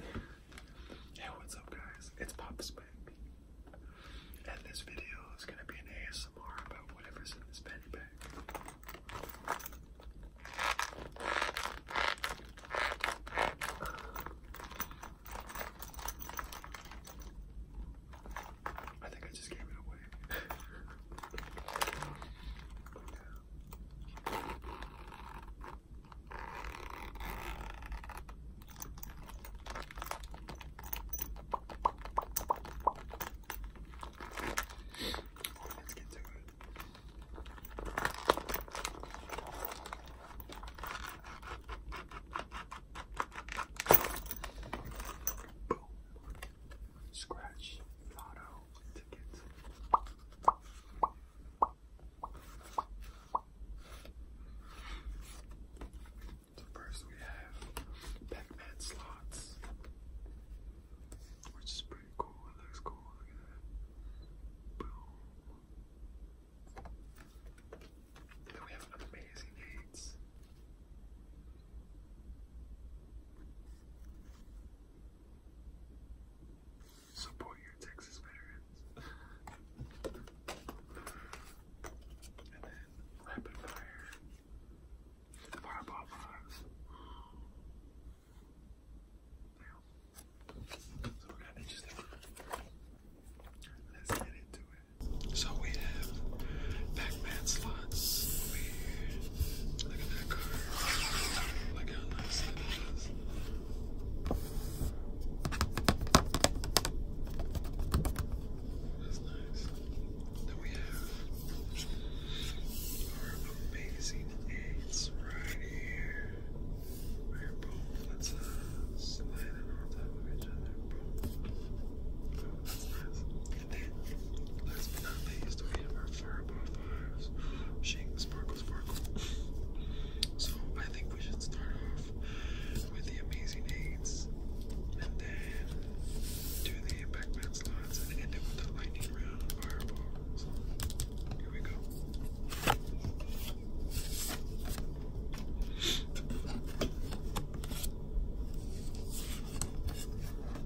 Hey, what's up, guys? It's Pop Spank, and this video is gonna be an ASMR about whatever's in this penny bag. I think I just gave it away. Let's get to it. Boom. Scratch. Lotto tickets. So first we have Pac-Man slots, which is pretty cool. It looks cool. Look at that. Boom. then we have Amazing Eights. Support your Texas veterans. and then rapid Fireball bombs. Damn. So we have Pac-Man slots Look at that car. Look how nice that is. That's nice. Then we have our amazing eights right here. Right, boom. Let's uh, slide it on top of each other. Boom. that's nice. And then, last but not least, we have our fire bonfires. Shake the sparkle, sparkle. So I think we should start off with the amazing eights, and then do the Pac-Man slots, and end it with the lightning round Here we go.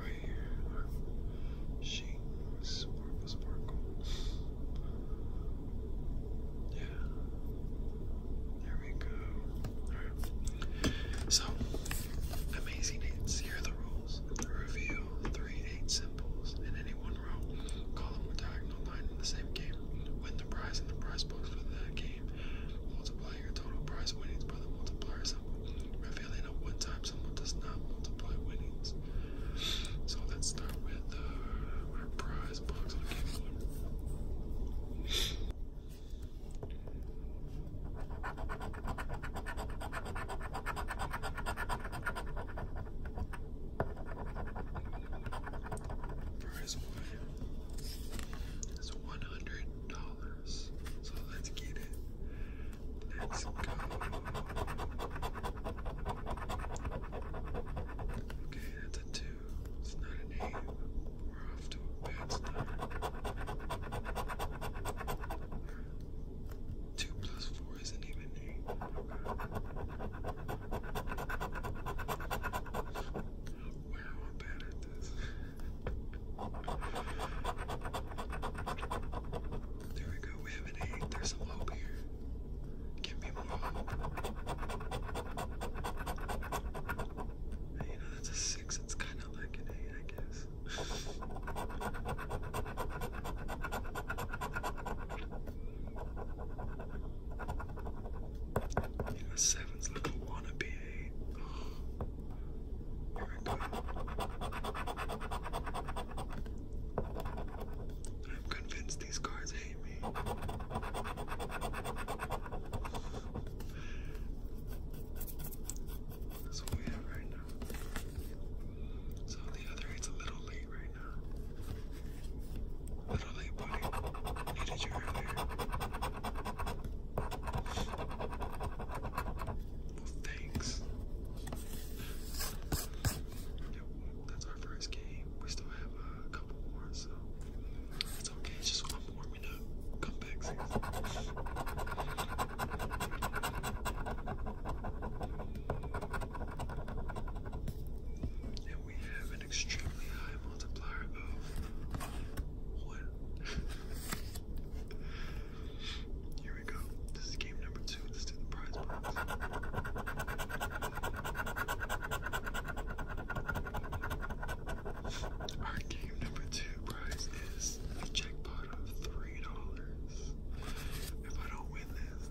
right here, our sparkle, sparkle. Yeah, there we go. Alright, so amazing hits. Here are the rules reveal three eight symbols in any one row, column, or diagonal line in the same game. Win the prize in the prize box for that game multiplying your total prize winnings by the multiplier symbol, revealing a one-time someone does not multiply winnings. So let's start with uh, prize box. I'll give one. Prize one is one hundred dollars. So let's get it. Let's go. Okay, that's a two. It's not an eight. We're off to a bad start. Two plus four isn't even eight there we go, we have an eight. There's some hope here. Give me more you know, that's a six. It's kind of like an eight, I guess. Yeah, seven's like a wannabe eight. Oh, I'm convinced these cards hate me. That's what we have right now. So the other eight's a little late right now. Thanks. that's our first game. We still have a couple more, so it's okay. just I'm warming up. Come back, sis. And we have extremely high multiplier of Here we go. This is game number two. Let's the prize box. Our game number two prize is a jackpot of three dollars. If I don't win this,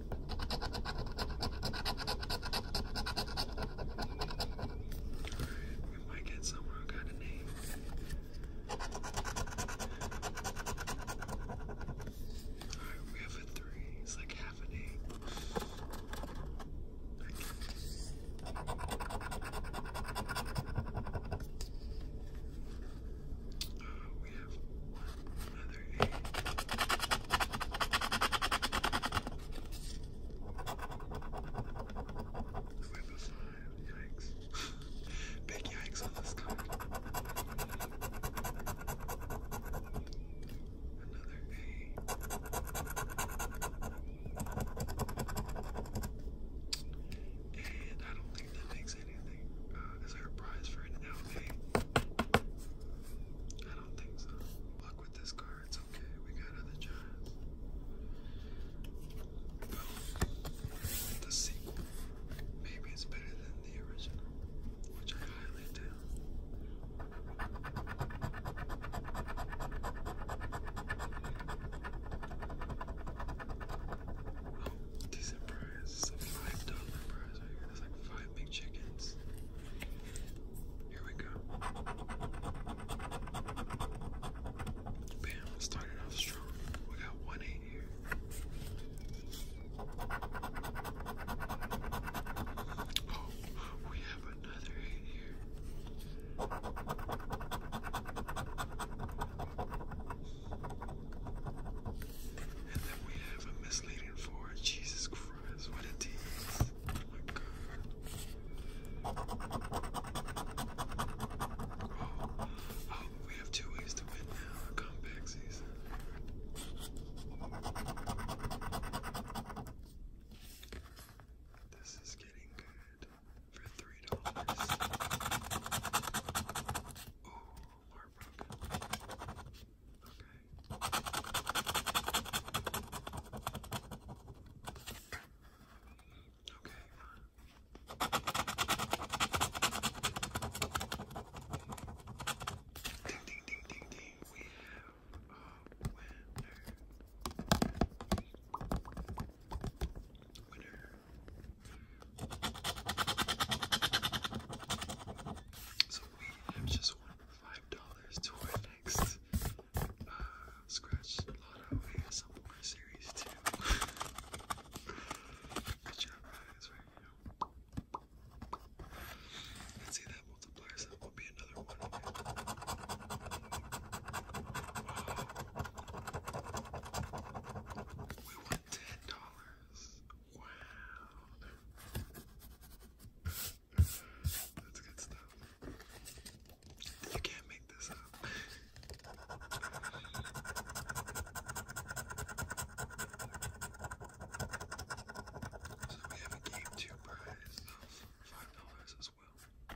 We might get somewhere who got a name. Alright, we have a three. It's like half an eight. Uh, we have one, leather eight. a yikes. Big yikes on this card. Another eight. And I don't think that makes anything. Uh, is there a prize for an LA? I don't think so. Luck with this card, it's okay. We got other giants. the sequel, maybe it's better than the original, which I highly doubt. Oh, decent It's a $5 prize right here. like five big chickens. Here we go. Bam, started off strong. We got one eight here. Oh, we have another eight here. And then we have a misleading four. Jesus Christ. Oh we have two ways to win now. A comeback season. This is getting good for three dollars. Oh, heartbroken. Okay. Ding, ding, ding, ding, ding. We have a winner. Winner. So I'm just one of five dollars to our next uh, scratch lotto ASMR series too. Good job, guys, right now. see that multiplier set will be another one. We won ten dollars. Wow. That's good stuff. You can't make this up. we have a game two prize five dollars as well.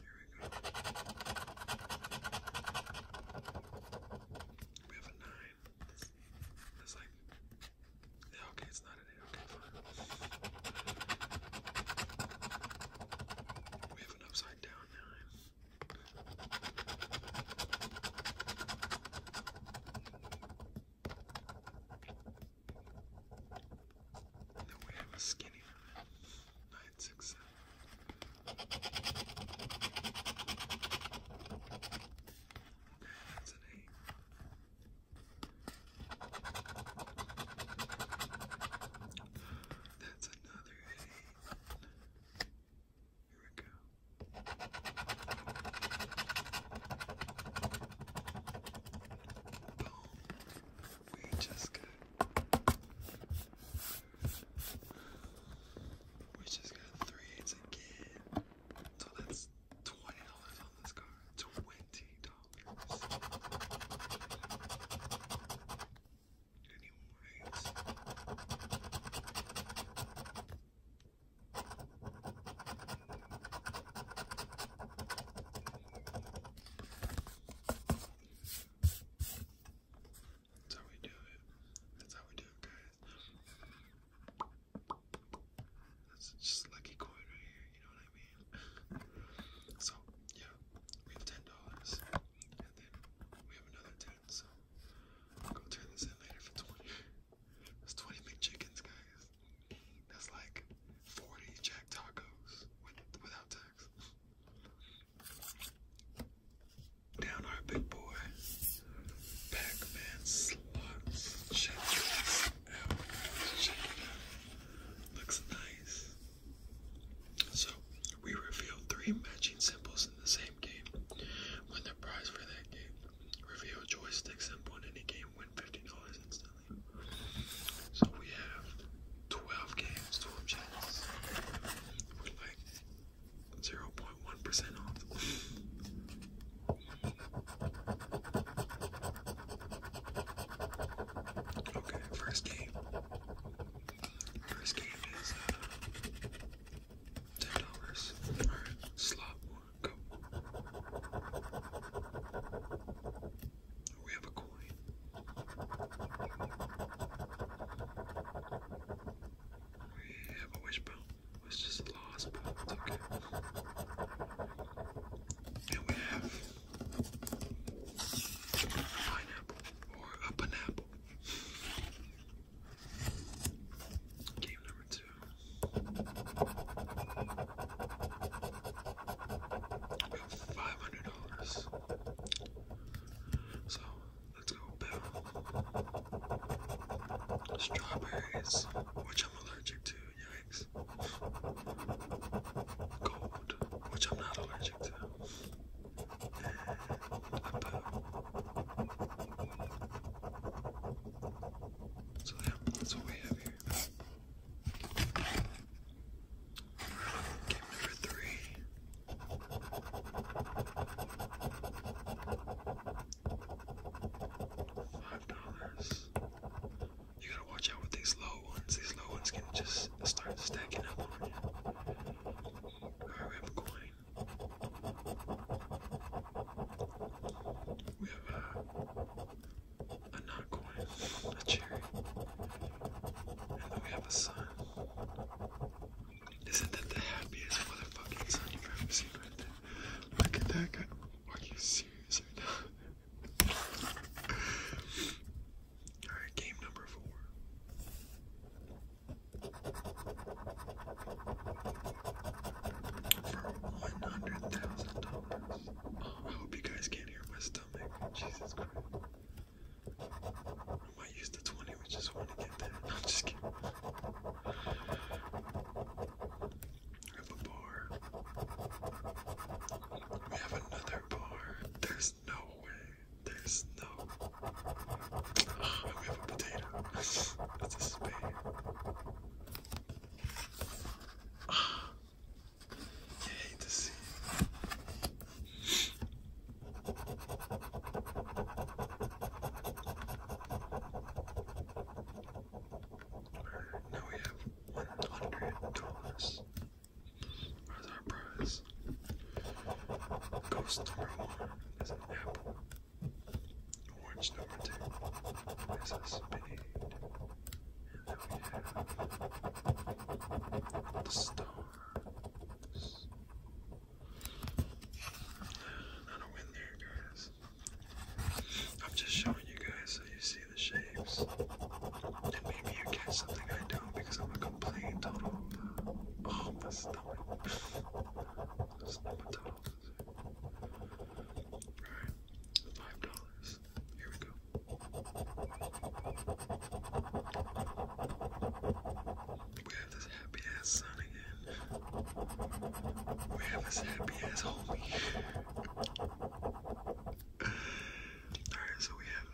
Here we go. We have a nine. It's like, yeah, okay, it's not an eight. Okay, fine. We have an upside down nine. Then we have a skinny nine, six, seven. Okay, that's an eight. That's another eight. Here we go. Boom. We just got we just got three eights again. So that's twenty dollars on this card. Twenty dollars. Any that's how we do it. That's how we do it, guys. That's just lucky coin right here, you know what I mean? so, yeah, we have ten dollars, and then we have another ten, so go turn this in later for twenty. That's twenty McChickens, guys. That's like forty Jack Tacos without tax. Down our big boy. pac slots. Looks nice. So we reveal three matching symbols in the same game. Win the prize for that game. Reveal joystick symbol in any game. Win $50 instantly. So we have 12 games, 12 channels. We're like 0.1% off. okay, first game. First game is uh, $10. slot one, We have a yeah, which bone was just lost, but And we have a pineapple or a pineapple. Game number two. We have $500. So let's go Bill. Strawberries, which I'm allergic to, yikes. Gold, which I'm not allergic to. And a So yeah, that's what we have here. game number three. Five dollars. You gotta watch out with these low ones. These low ones can just start stacking up on you. we have a coin. We have a, uh, a not coin, a cherry, and then we have a sun. Isn't that the happiest motherfucking son you've ever seen right there? Look at that guy. Are you serious right now? Alright, game number four. For one hundred thousand dollars. Oh, I hope you guys can't hear my stomach. Jesus Christ. I might use the 20, we just want to get there. I'm just kidding. We have a bar. We have another bar. There's no way. There's no. we have a potato. That's a spade. You hate to Now we have one hundred dollars as our prize. Ghost number one is an apple. Orange number two is a spade the stars. I don't win there, guys. I'm just showing you guys so you see the shapes. And maybe you catch something I don't because I'm a complete total. Oh, my stomach. $5. Here we go. We have this happy ass son again. We have this happy ass homie. Alright, so we have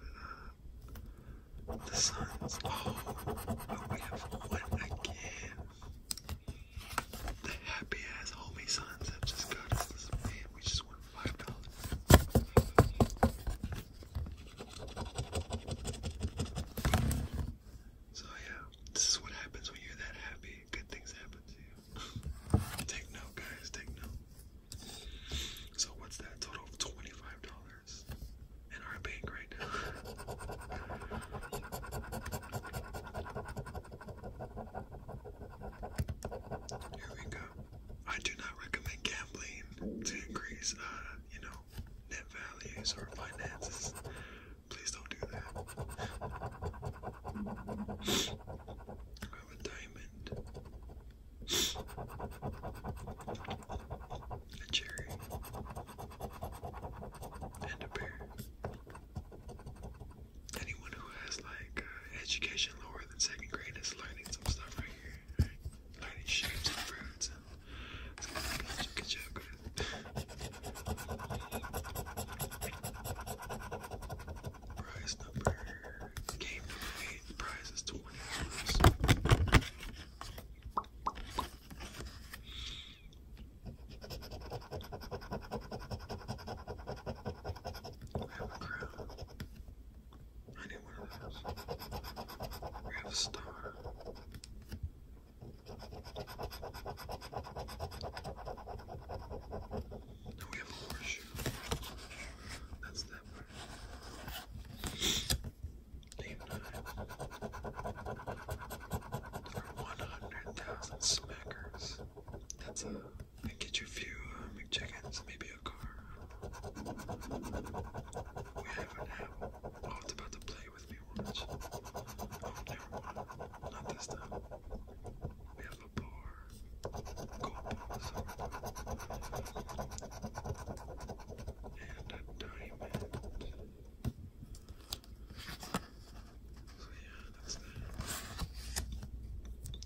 uh, the sons. Oh, but we have one again. The happy ass homie sons have just got us man. We just so yeah, this is what happens when you're that happy. Good things happen to you. take note, guys. Take note. So what's that total of twenty-five dollars in our bank right now? Here we go. I do not recommend gambling to increase, uh, you know, net values or finances. Please don't do that. I have a diamond, a cherry, and a pear. Anyone who has like uh, education lower fourth second grade is learning some stuff right here. Learning shapes and fruits. It's gonna be lots of good job, Prize number eight. prize is twenty dollars. Anyone else? We have a star. And we have a horseshoe. That's that part. Dave and 100,000 smackers. That's a and get you a few uh, McChickens, maybe a car. We haven't had Alt about to play with me once. Oh, never mind. Not this time. We have a bar. Gold balls. And a diamond. So yeah,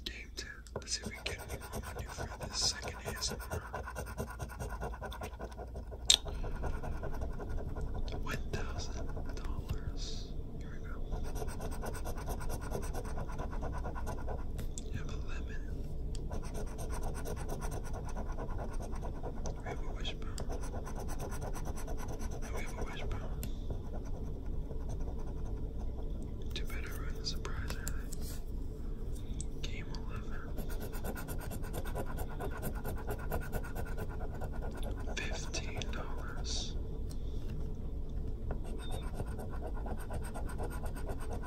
Game 2. Let's see if we can get a new friend this second ASMR. $1,000. Here we go. You have a lemon. We have a wishbone. we have a wishbone. Too bad I the surprise Game 11. $15.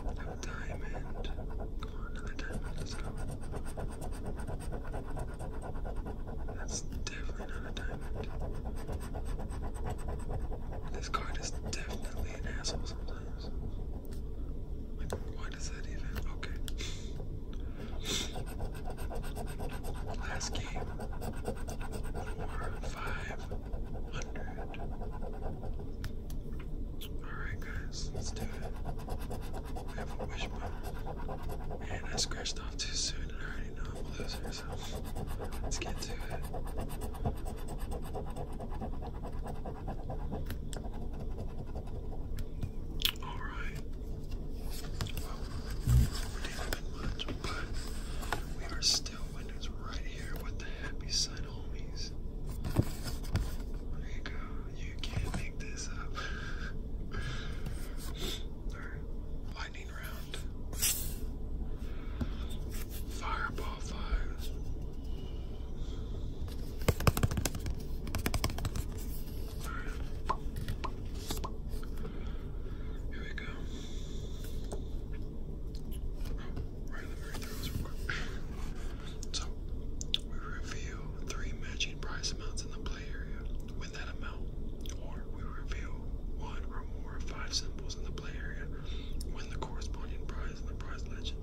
A diamond. Come on, another diamond, let's go. That's definitely not a diamond. This card is definitely an asshole sometimes. why does that even? Okay. Last game. Four, five, hundred. Alright, guys, let's do it. I wishbone. And I scratched off too soon, and already know I'm a let's get to it. Alright. Well, not much, but we are still winners right here with the happy side homies. There you go. You can't make this up. Alright lightning round, fireball five. All right. Here we go. Oh, right in the very throws real quick. So we reveal three matching prize amounts in the play area. Win that amount, or we reveal one or more of five symbols in the play area, win the corresponding prize in the prize legend.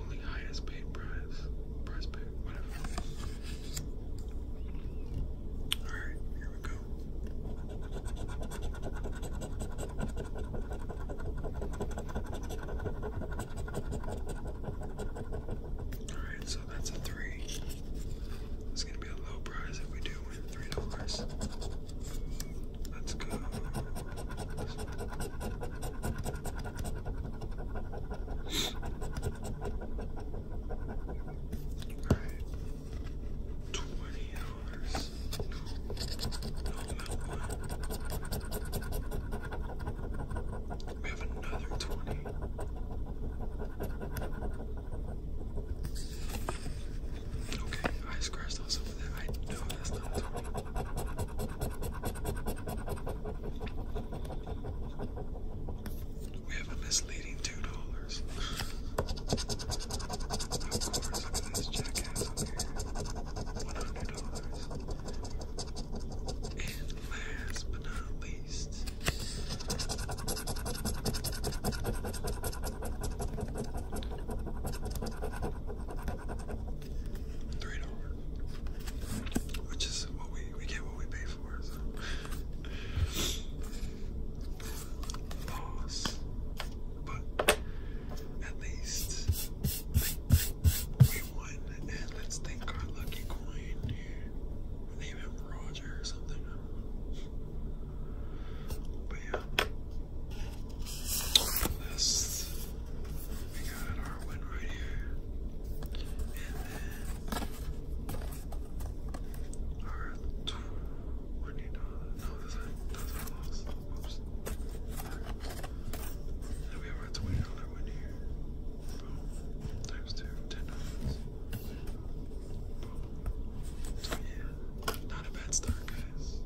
Only highest paid prize, prize paid, whatever. Alright, here we go. Alright, that's a three. It's gonna be a low prize if we do win three dollars. Let's go. Twenty dollars. No, one. We have another twenty. Okay, I scratched those over there. I know that's not Tommy. We have a misleading two dollars. One hundred dollars. And last but not least. Three dollars, which is what we we get what we pay for. So. Loss, but at least we won. And let's thank our lucky coin. I him Roger or something. But yeah. This we got our win right here. And then our twenty dollars. No, that's not that's our loss. Whoops. Then we have our twenty dollar win here. Boom. Times two, ten dollars not a bad start, guys.